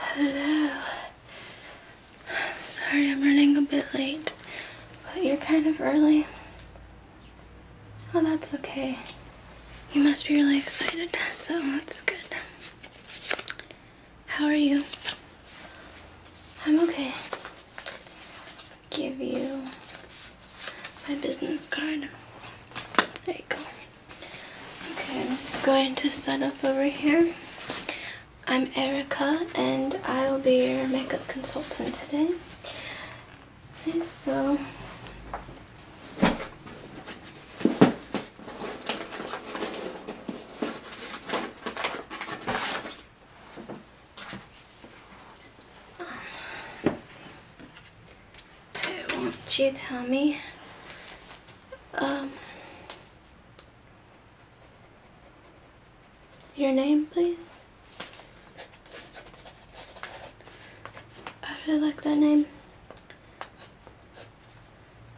Hello. I'm sorry I'm running a bit late, but you're kind of early. Oh, that's okay. You must be really excited, so that's good. How are you? I'm okay. Give you my business card. There you go. Okay, I'm just going to set up over here. I'm Erica and I will be your makeup consultant today. Okay, so won't Gee, Tommy. Um, your name, please? I really like that name.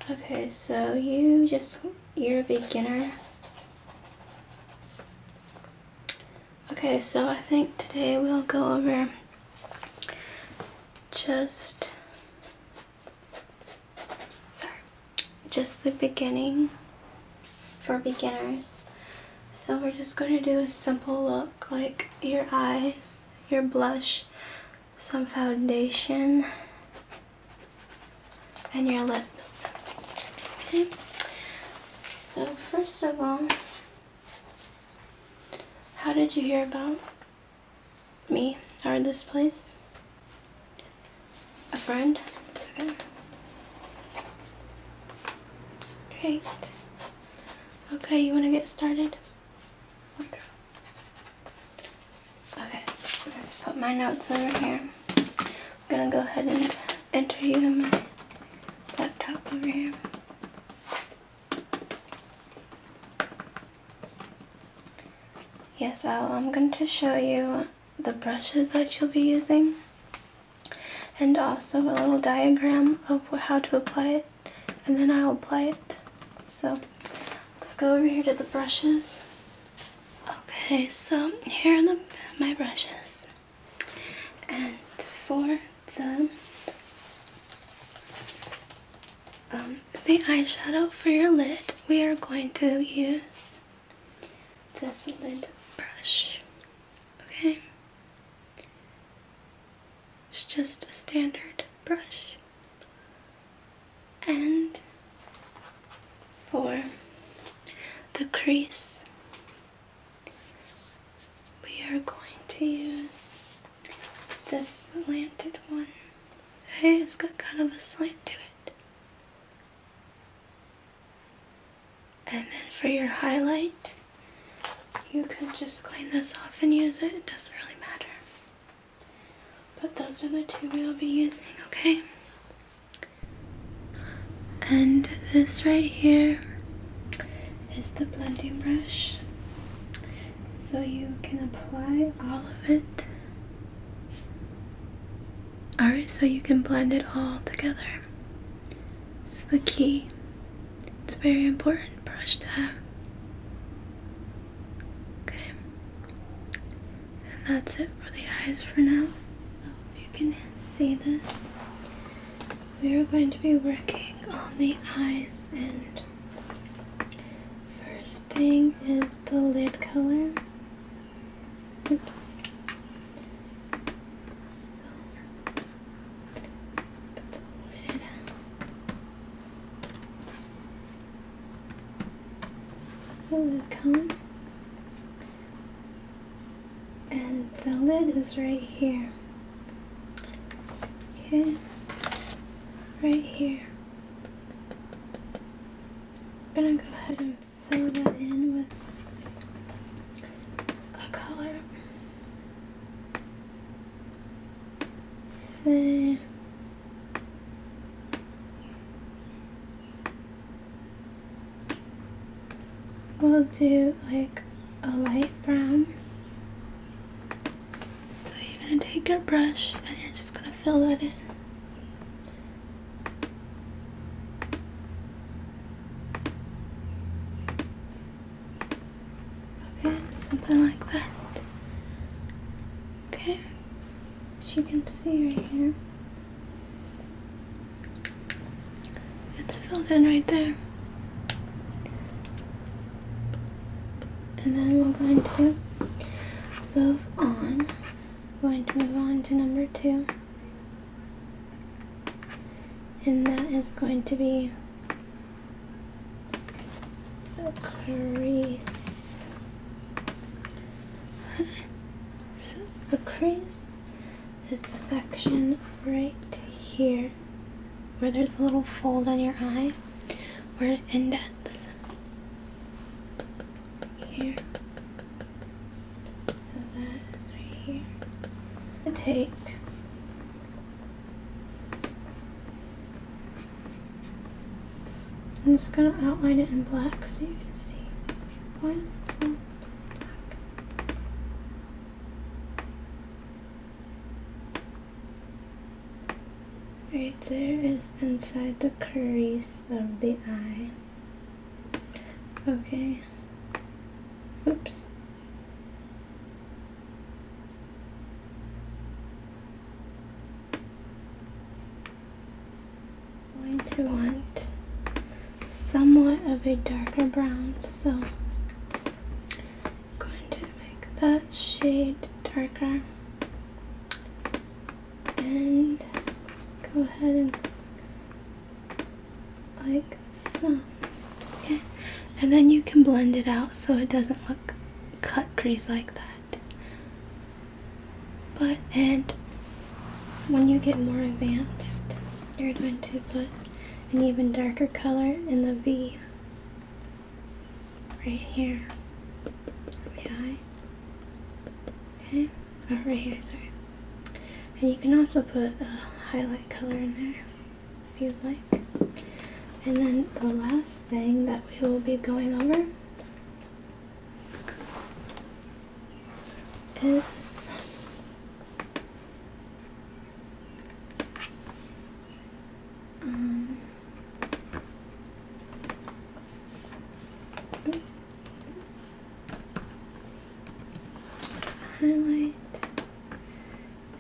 Okay, so you just, you're a beginner. Okay, so I think today we'll go over just, sorry, just the beginning for beginners. So we're just going to do a simple look, like your eyes, your blush, some foundation, and your lips. Okay. So first of all, how did you hear about me or this place? A friend? Okay. Great. Okay, you want to get started? Okay, let's put my notes over here. I'm gonna go ahead and enter you in my laptop over here. Yes, I'm going to show you the brushes that you'll be using and also a little diagram of how to apply it and then I'll apply it. So let's go over here to the brushes. Okay, so here are the, my brushes. And for the um, the eyeshadow for your lid, we are going to use this lid brush. Okay? It's just a standard brush and for the crease we are going to use this slanted one hey it's got kind of a slant to it and then for your highlight you could just clean this off and use it it doesn't really matter but those are the two we'll be using, okay? And this right here is the blending brush. So you can apply all of it. Alright, so you can blend it all together. It's the key. It's a very important brush to have. Okay. And that's it for the eyes for now. I hope you can see this. We are going to be working on the eyes and first thing is the lid color. Oops. Welcome. And the lid is right here. Okay. Right here. I'm gonna go ahead and fill that in with a color. Say We'll do like a light brown. So you're gonna take your brush and you're just gonna fill that in. Okay, something like that. Okay, as you can see right here, it's filled in right there. And then we're going to move on. We're going to move on to number two. And that is going to be the crease. so the crease is the section right here where there's a little fold on your eye where it indents here. So that is right here. I take I'm just going to outline it in black so you can see. Right there is inside the crease of the eye. Okay. Oops. I'm going to want somewhat of a darker brown, so I'm going to make that shade darker and go ahead and like so. Okay, and then you can blend it out so it doesn't look cut crease like that. But, and when you get more advanced, you're going to put an even darker color in the V right here. The Okay? Oh, right here, sorry. And you can also put a highlight color in there if you'd like. And then the last thing that we will be going over is um, highlight.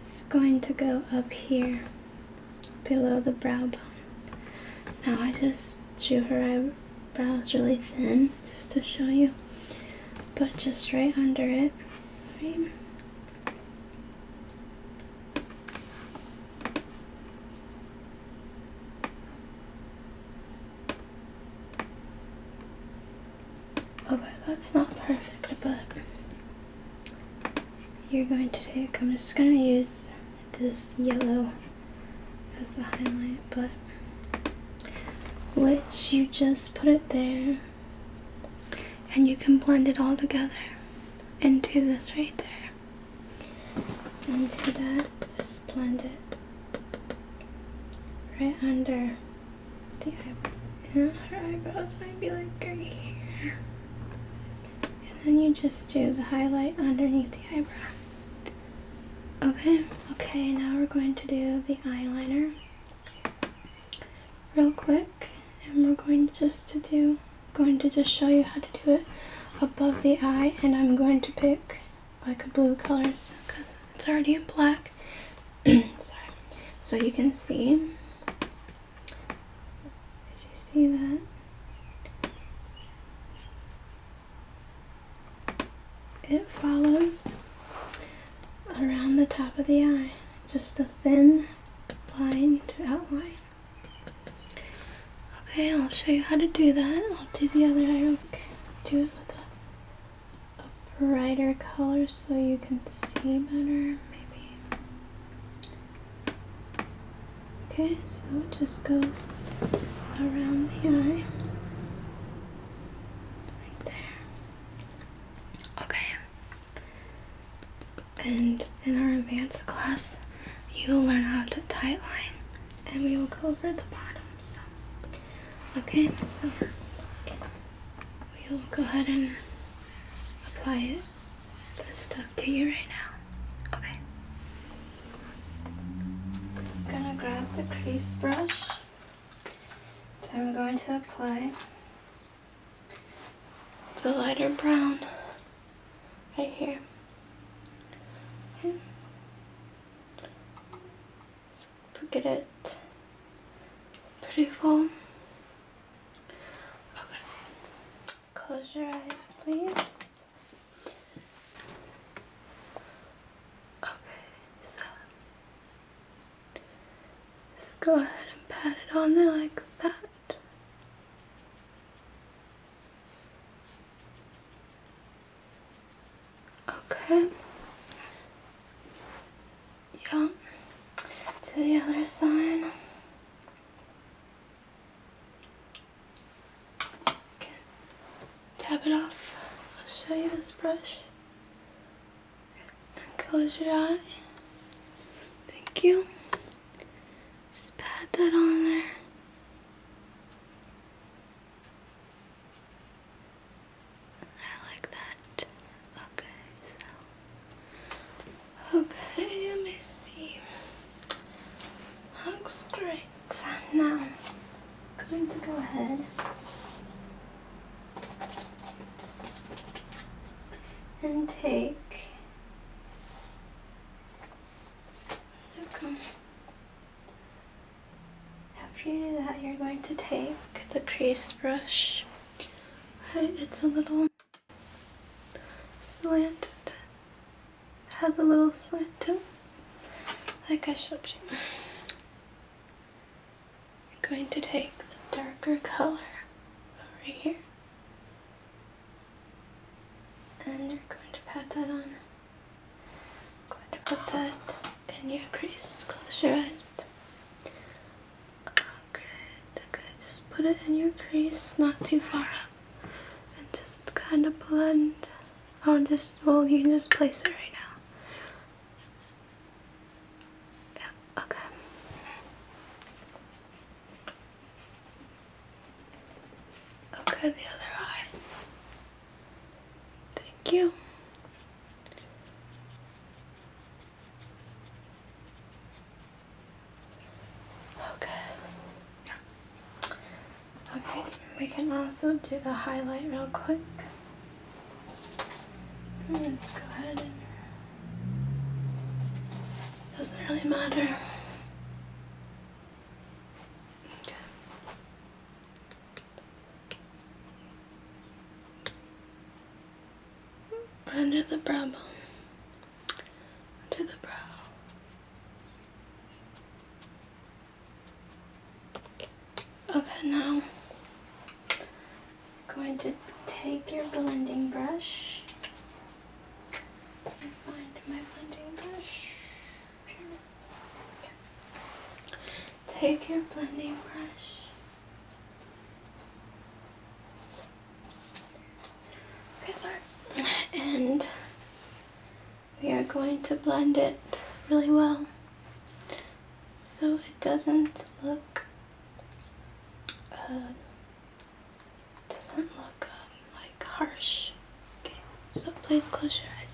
It's going to go up here below the brow bone. Now I just drew her eyebrows really thin just to show you. But just right under it, Okay, that's not perfect, but you're going to take, I'm just going to use this yellow as the highlight, but which you just put it there and you can blend it all together into this right there. Into that, just blend it right under the eyebrow. Yeah, her eyebrows might be like right here. And then you just do the highlight underneath the eyebrow. Okay, okay, now we're going to do the eyeliner real quick and we're going just to do going to just show you how to do it above the eye and I'm going to pick like a blue colors because it's already in black sorry so you can see did you see that? It follows around the top of the eye, just a thin line to outline. Okay, I'll show you how to do that. I'll do the other eye. do it with a, a brighter color so you can see better, maybe. Okay, so it just goes around the eye. Right there. Okay. And in our advanced class, you will learn how to tie line. And we will go over the bottom, Okay, so we will go ahead and apply it this stuff to you right now. Okay. I'm gonna grab the crease brush. I'm going to apply the lighter brown right here. Okay. let get it pretty full. Okay. Close your eyes, please. Okay, so go ahead and pat it on there like that. Okay. Yeah. To the other side tap it off. I'll show you this brush. And close your eye. Thank you. Just pat that on there. I like that. Okay, Okay, let me see. Looks great. Now, I'm going to go ahead and take look um, after you do that you're going to take the crease brush it's a little slanted. It has a little slant to it, like I showed you. I'm going to take the darker color over here and you're going to pat that on. I'm going put that in your crease. Close your eyes. Oh, good, good. Just put it in your crease, not too far up and just kind of blend or just well you can just place it right now yeah, okay okay the other eye thank you Okay. Okay, we can also do the highlight real quick. Just go ahead doesn't really matter. under the brow bone under the brow. Okay, now I'm going to take your blending brush. find my blending brush. Take your blending brush Okay, sorry. And we are going to blend it really well so it doesn't look uh, doesn't look um, like harsh. Okay, so please close your eyes.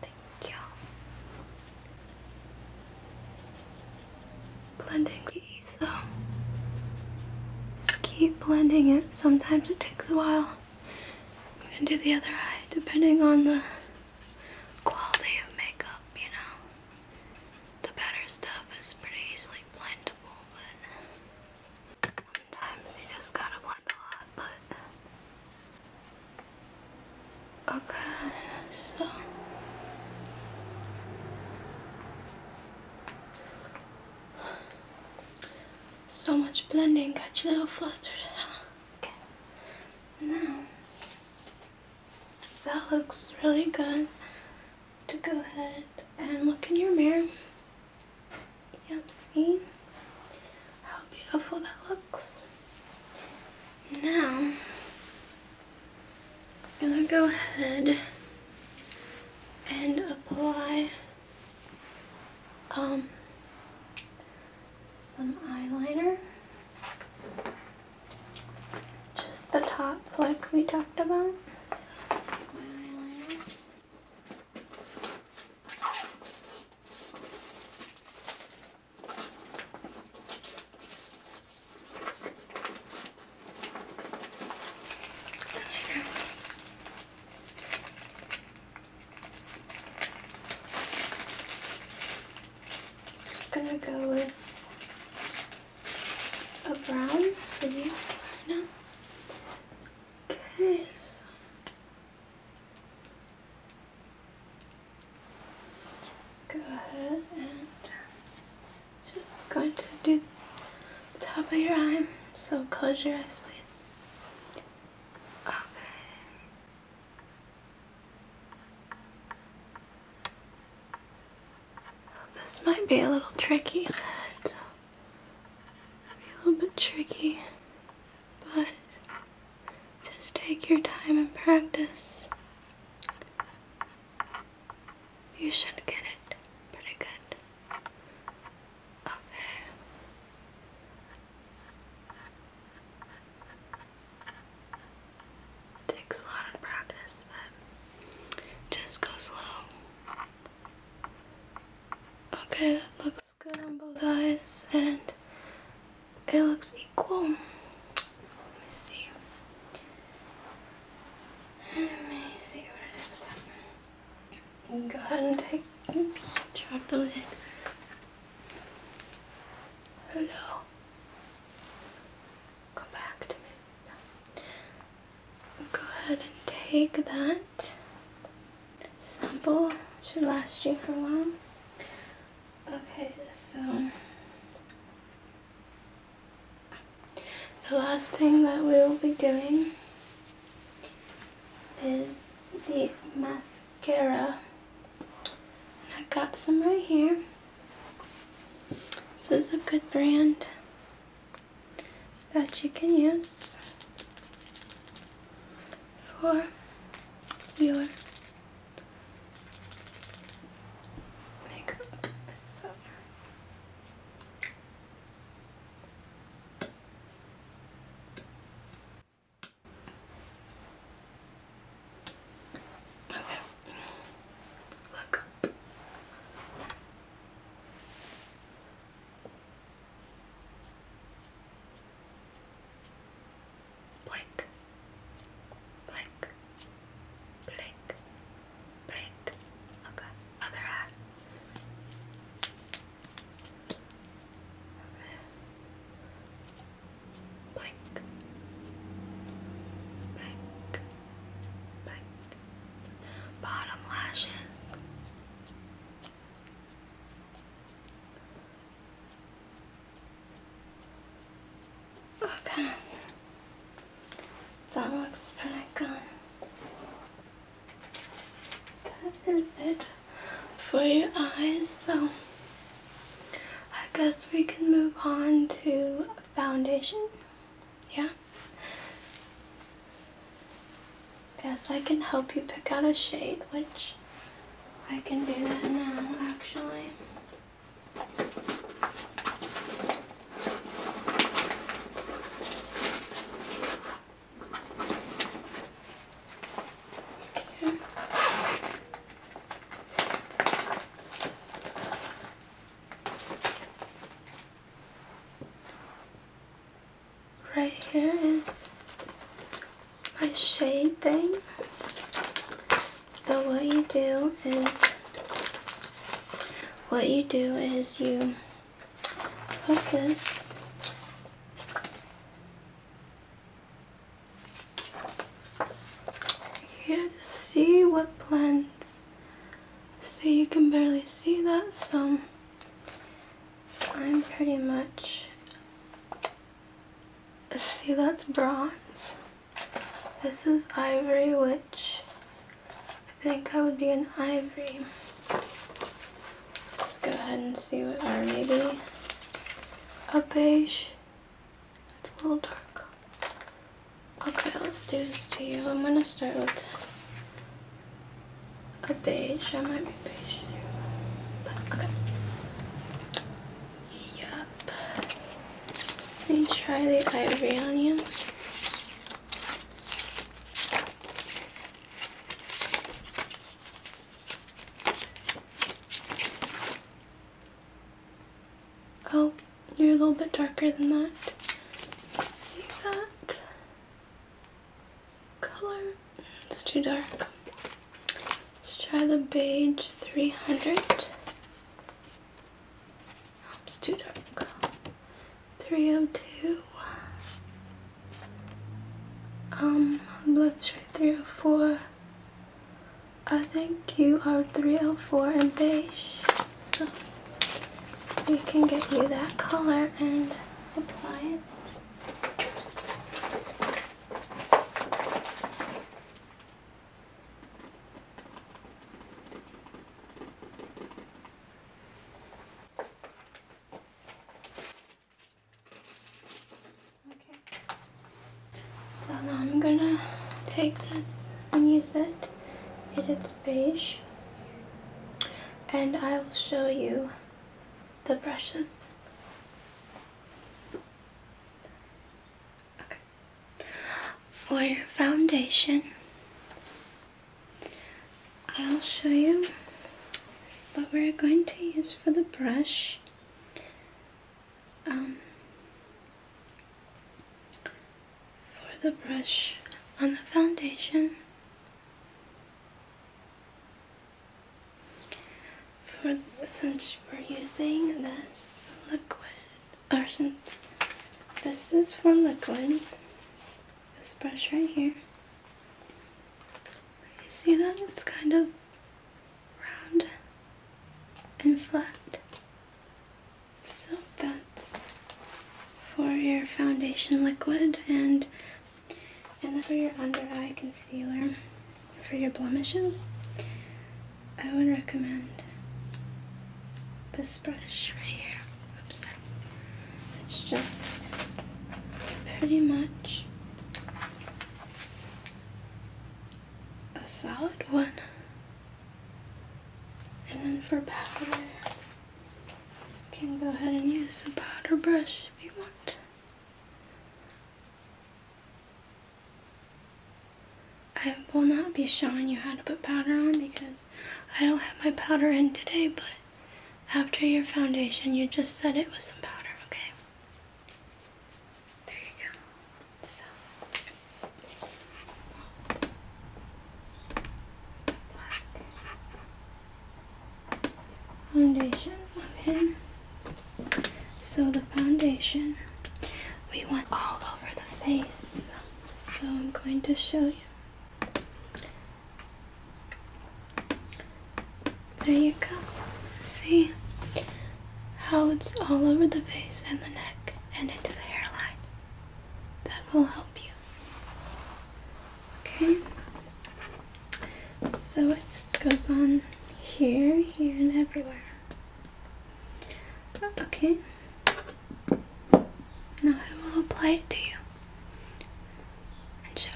Thank you. Blending. So, Just keep blending it. Sometimes it takes a while. I'm gonna do the other eye depending on the quality of makeup, you know. The better stuff is pretty easily blendable, but sometimes you just gotta blend a lot, but... Okay, so... So much blending got you a little flustered. Now, that looks really good. To go ahead and look in your mirror. Yep, see how beautiful that looks. Now, I'm gonna go ahead and apply um, some eyeliner. Just the top like we talked about. Just gonna go with a brown for you right Okay, go ahead and just going to do top of your eye. So close your eyes, please. Okay. This might be a little tricky. But a little bit tricky, but just take your time and practice. You should get it pretty good. Okay. It takes a lot of practice, but just go slow. Okay, that looks good on both eyes, and it looks equal. Let me see. Let me see go ahead and take drop the lid. Hello. Come back Go ahead and take that Simple Should last you for a while. Okay, so the last thing that we'll be doing is the mascara. I got some right here. This is a good brand that you can use for your makeup. Okay. Look. Blink. Blink. Blink. Blink. Okay, other eye. Blink. Blink. Blink. Bottom lashes. Okay. That looks pretty good that is it for your eyes so I guess we can move on to foundation yeah guess I can help you pick out a shade which I can do that now actually Right here is my shade thing. So what you do is, what you do is you Focus. you here to see what blends. So you can barely see that, so I'm pretty much, see that's bronze. This is ivory, which I think I would be an ivory. Let's go ahead and see what, or maybe a beige. It's a little dark. Okay, let's do this to you. I'm gonna start with a beige. I might be beige too, but okay. Yep. Let me try the ivory on you. Oh, you're a little bit darker than that. See that color? It's too dark. Let's try the beige 300. It's too dark. 302. Um, blood sugar 304. I think you are 304 in beige, so we can get you that color and apply it. Okay. So now I'm gonna take this and use it. It is beige. And I will show you the brushes. For your foundation, I'll show you what we're going to use for the brush. Um, for the brush on the foundation. For since we're using this liquid, or since this is for liquid, this brush right here. You see that? It's kind of round and flat. So that's for your foundation liquid and and for your under eye concealer for your blemishes. I would recommend this brush right here. It's just pretty much a solid one. And then for powder, you can go ahead and use the powder brush if you want. I will not be showing you how to put powder on because I don't have my powder in today, but after your foundation, you just set it with some powder, okay? There you go. So foundation So the foundation we want all over the face. So I'm going to show you. There you go. See how it's all over the face and the neck and into the hairline. That will help you. Okay. So it just goes on here, here, and everywhere. Okay. Now I will apply it to you show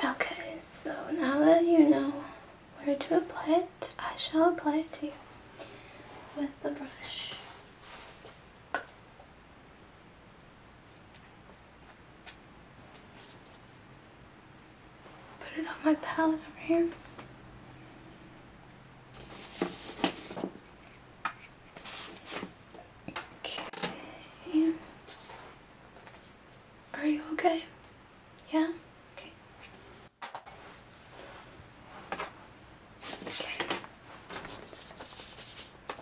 you. Okay, so now that you know where to apply it, I shall apply it to you with the brush. Put it on my palette over here. Okay. Are you okay? Yeah? Okay. Okay.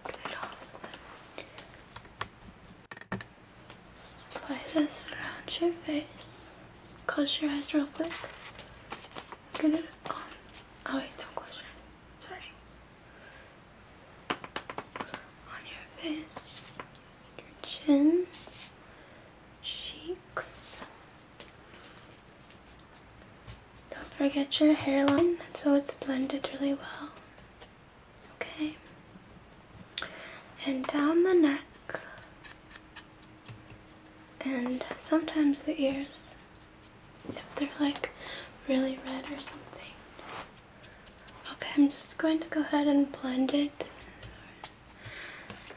Get it off. Just apply this around your face. Close your eyes real quick. Get it on. Oh wait, don't close your Sorry. On your face, your chin, cheeks. Don't forget your hairline so it's blended really well. Okay. And down the neck and sometimes the ears if they're like really red or something. Okay, I'm just going to go ahead and blend it.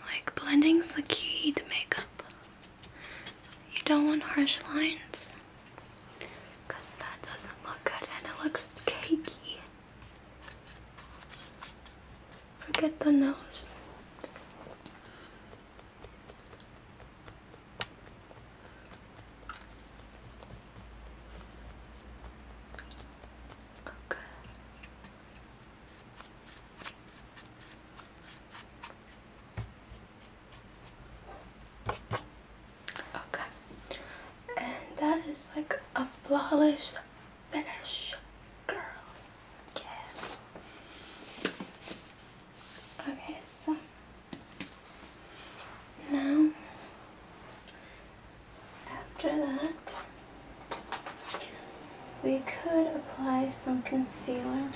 Like blending's the key to makeup. You don't want harsh lines that doesn't look good and it looks cakey. Forget the nose. Okay. Okay. And that is like a flawless finish, girl. Yeah. Okay, so now after that we could apply some concealer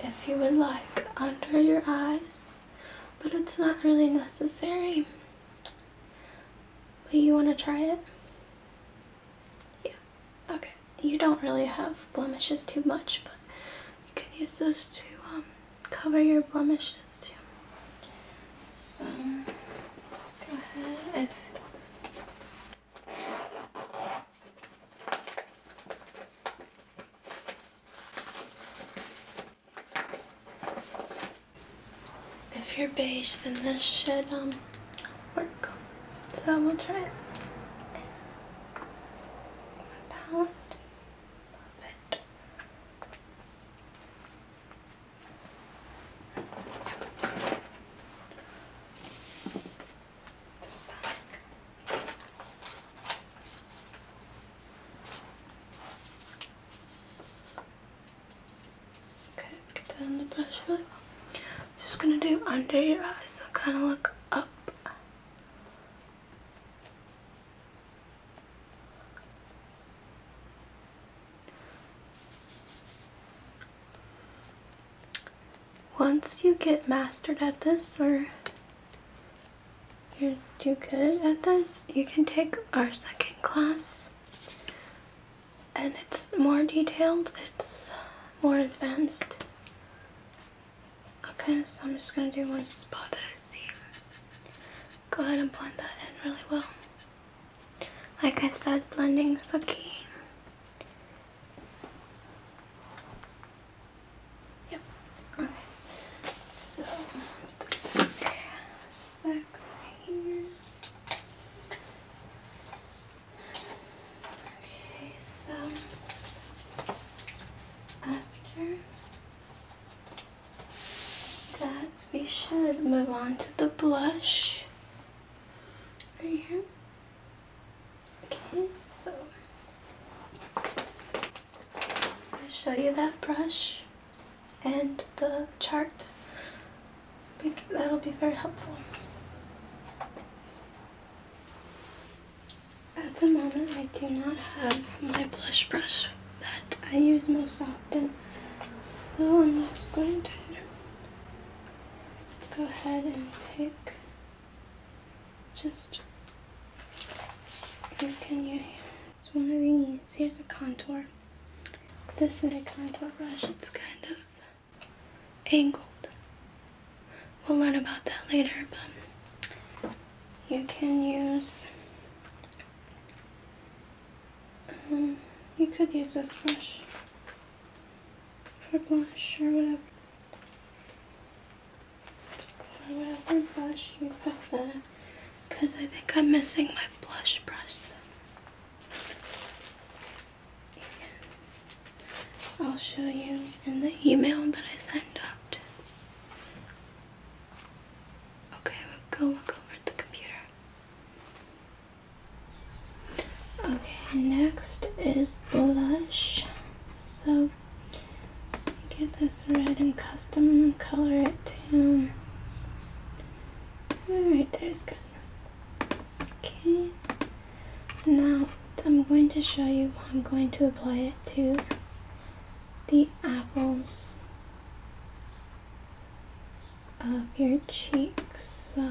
if you would like under your eyes but it's not really necessary but you want to try it yeah okay you don't really have blemishes too much, but you can use this to um, cover your blemishes too. So, let's go ahead. If If you're beige, then this should um, work. So we'll try it. Pound. Love it. Okay, get that in the brush really well. Just gonna do under your eyes, so kind of look up. Once you get mastered at this, or you are too good at this, you can take our second class. And it's more detailed, it's more advanced. Okay, so I'm just gonna do one spot that I see. Go ahead and blend that in really well. Like I said, blending's the key. Yep. Okay. So back here. Okay, so after that, we should move on to the blush right here. Okay, so I'll show you that brush and the chart. that'll be very helpful. At the moment, I do not have my blush brush that I use most often, so I'm just going to go ahead and pick just can use it's one of these here's a contour this is a contour brush it's kind of angled. We'll learn about that later, but you can use, um, you could use this brush for blush or whatever. whatever brush you prefer, because I think I'm missing my blush brush. I'll show you in the email that I sent out. Okay, we'll go look over at the computer. Okay, next is blush. So get this red and custom color it to. Alright, there's good. Okay, now I'm going to show you, I'm going to apply it to the apples of your cheeks. So,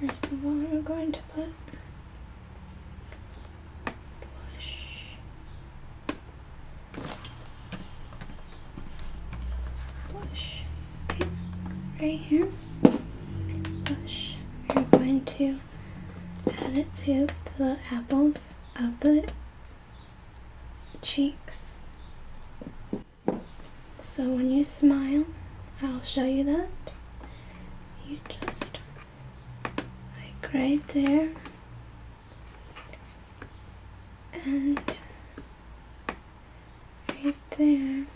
first of all, we're going to put right here bush, we're going to add it to the apples of the cheeks. So when you smile, I'll show you that. You just, like right there, and right there.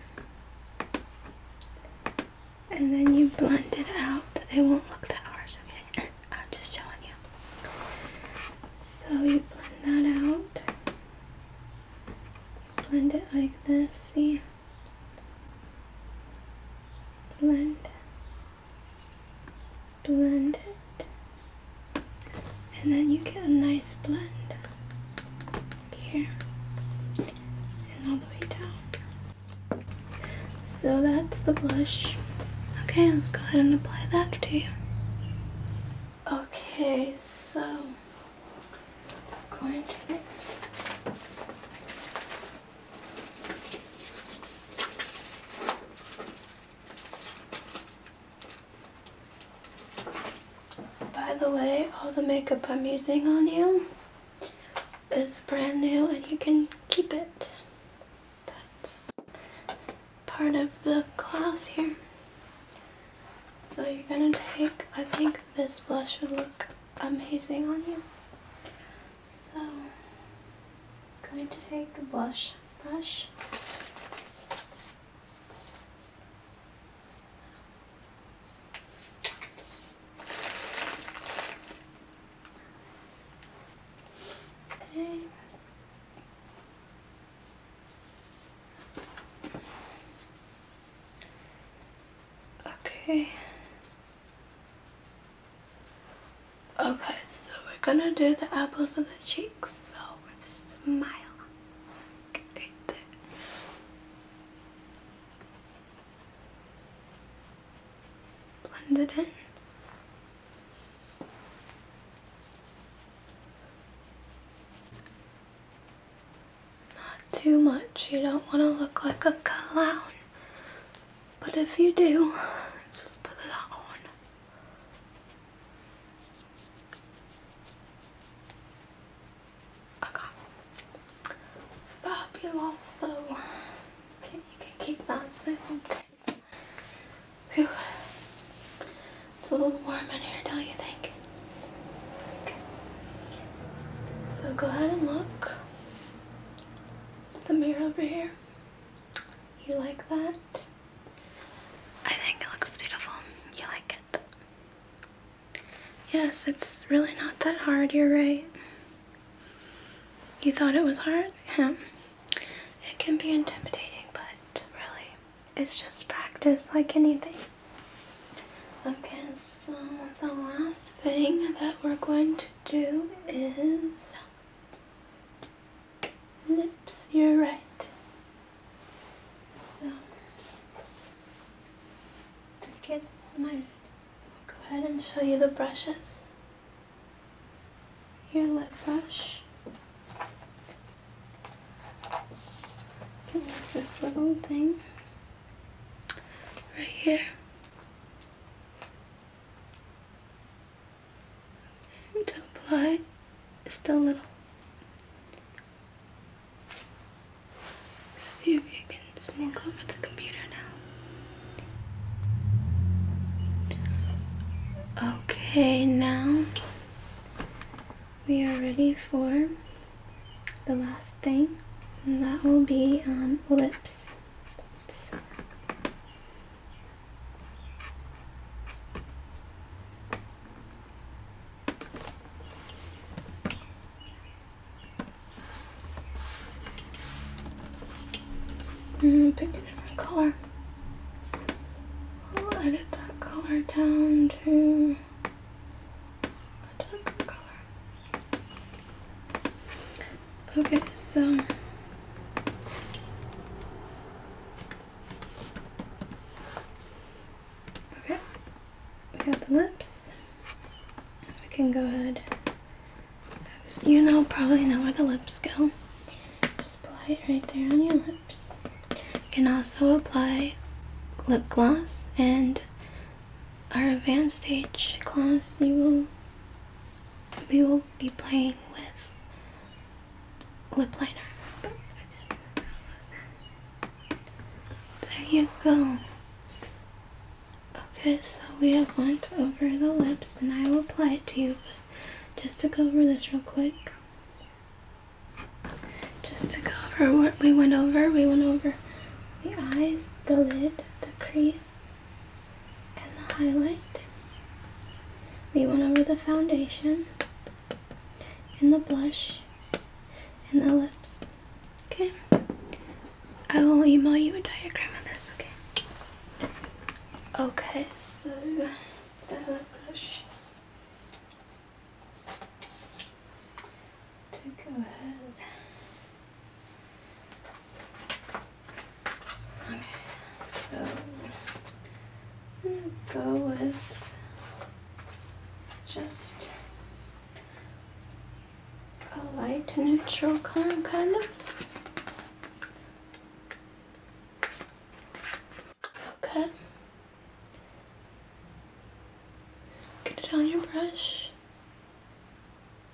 And then you blend it out. They won't look that harsh, okay? I'm just showing you. So you blend that out. Blend it like this, see? Blend. Blend it. And then you get a nice blend here and all the way down. So that's the blush. Okay, let's go ahead and apply that to you. Okay, so I'm going to by the way, all the makeup I'm using on you is brand new and you can keep it. That's part of the class here. So you're gonna take, I think this blush would look amazing on you. So, I'm going to take the blush brush. Okay. Okay. Okay, so we're gonna do the apples and the cheeks, so smile. Right blend it in. Not too much. You don't want to look like a clown. But if you do, just put it on. I got fabulous so okay, you can keep that soon. It's a little warm in here, don't you think? So go ahead and look. It's the mirror over here. You like that? I think it looks beautiful. You like it? Yes, it's really not that hard, you're right. You thought it was hard? Yeah. It can be intimidating, but really, it's just practice like anything. Okay, so the last thing that we're going to do is lips, you're right. So to get my, Go ahead and show you the brushes. Your lip brush. There's this little thing right here. And to apply just a little See if you can sneak over the computer now. Okay, now we are ready for the last thing, and that will be um, lips. I mm, picked a different color. I'll edit that color down to a darker color. Okay, so Okay, we got the lips. We can go ahead. So you know, probably know where the lips go. Just apply it right there on your lips. You can also apply lip gloss and our advanced stage class you will we will be playing with lip liner. There you go. Okay, so we have went over the lips and I will apply it to you. just to go over this real quick. Just to go over what we went over. We went over the eyes, the lid, the crease, and the highlight. We went over the foundation and the blush and the lips Okay. I will email you a diagram of this, okay? Okay, so the brush. To go ahead. Okay, so go with just a light neutral color kind of. Okay. Get it on your brush.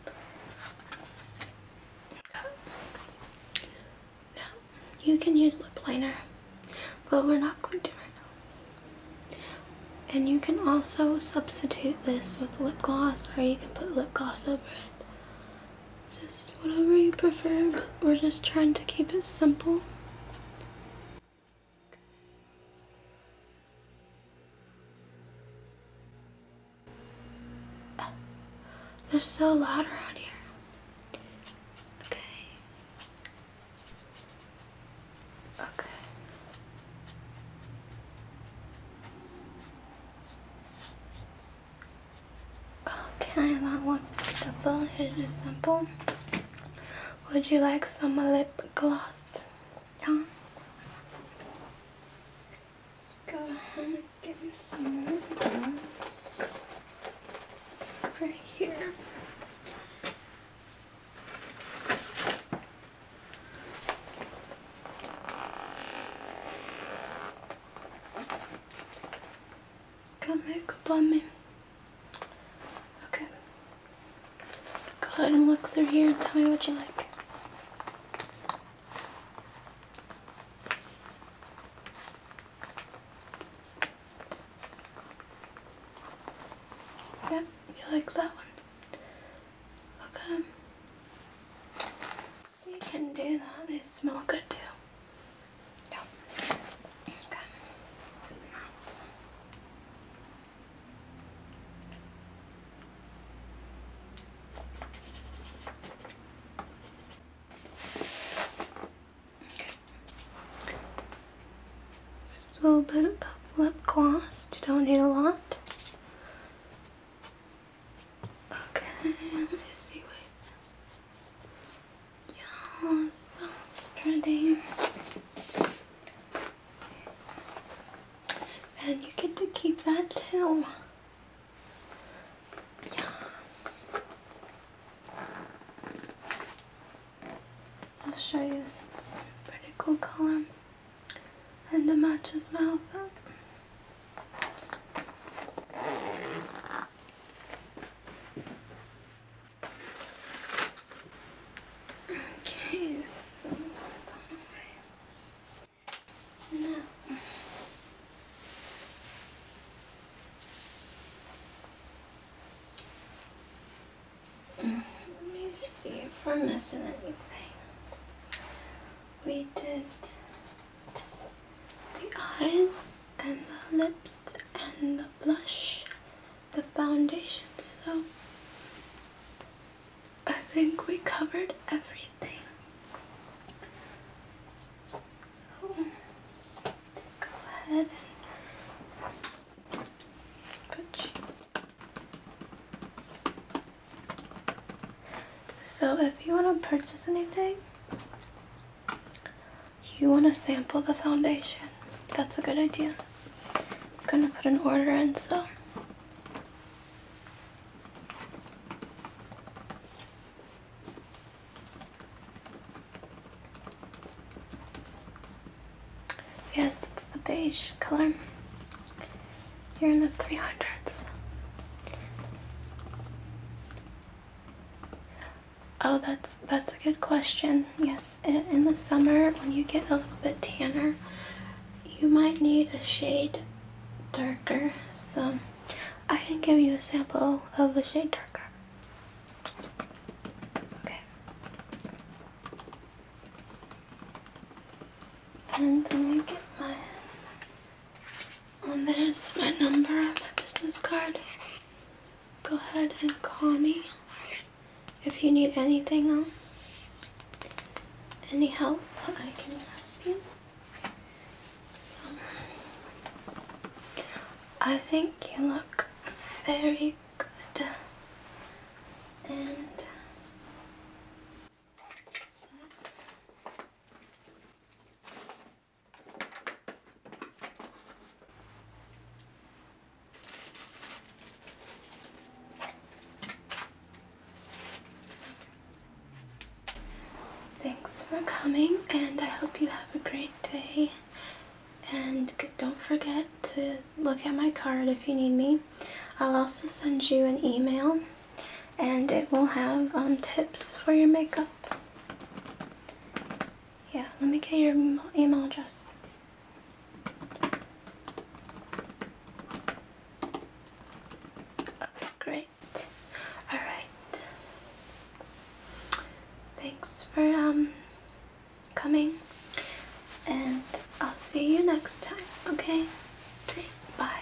Okay. you can use lip liner, but we're not going to right now. And you can also substitute this with lip gloss or you can put lip gloss over it. Just whatever you prefer, we're just trying to keep it simple. They're so loud around here. Okay. Okay. Okay, I want double. Here's your sample. Would you like some lip gloss? Yeah. Let's go ahead and give some Right here. Come Got makeup on me. Okay. Go ahead and look through here and tell me what you like. Yeah. You like that one? Okay. We can do that. They smell good too. Okay. Just a little bit of lip gloss. You don't need a lot. Okay, let me see. Wait. Yeah, sounds pretty. And you get to keep that too. Yeah. I'll show you this pretty cool color and a match as well Okay, so now let me see if we're missing anything. We did the eyes and the lips and the blush, the foundation. So I think we covered everything. So go ahead and put so if you want to purchase anything, you want to sample the foundation. That's a good idea. I'm going to put an order in, so. Yes, it's the beige color. You're in the 300s. Oh, that's that's a good question. Yes, in the summer when you get a little bit tanner, you might need a shade darker. So I can give you a sample of a shade darker. Okay. And let me get my, oh there's my number, my business card. Go ahead and call me if you need anything else. Any help, I can help you. I think you look very and Thanks for coming and I hope you have a great day and don't forget to look at my card if you need me. I'll also send you an email and it will have um, tips for your makeup. Yeah, let me get your email address. Okay, great. Alright. Thanks for um, coming. And I'll see you next time, okay? Bye.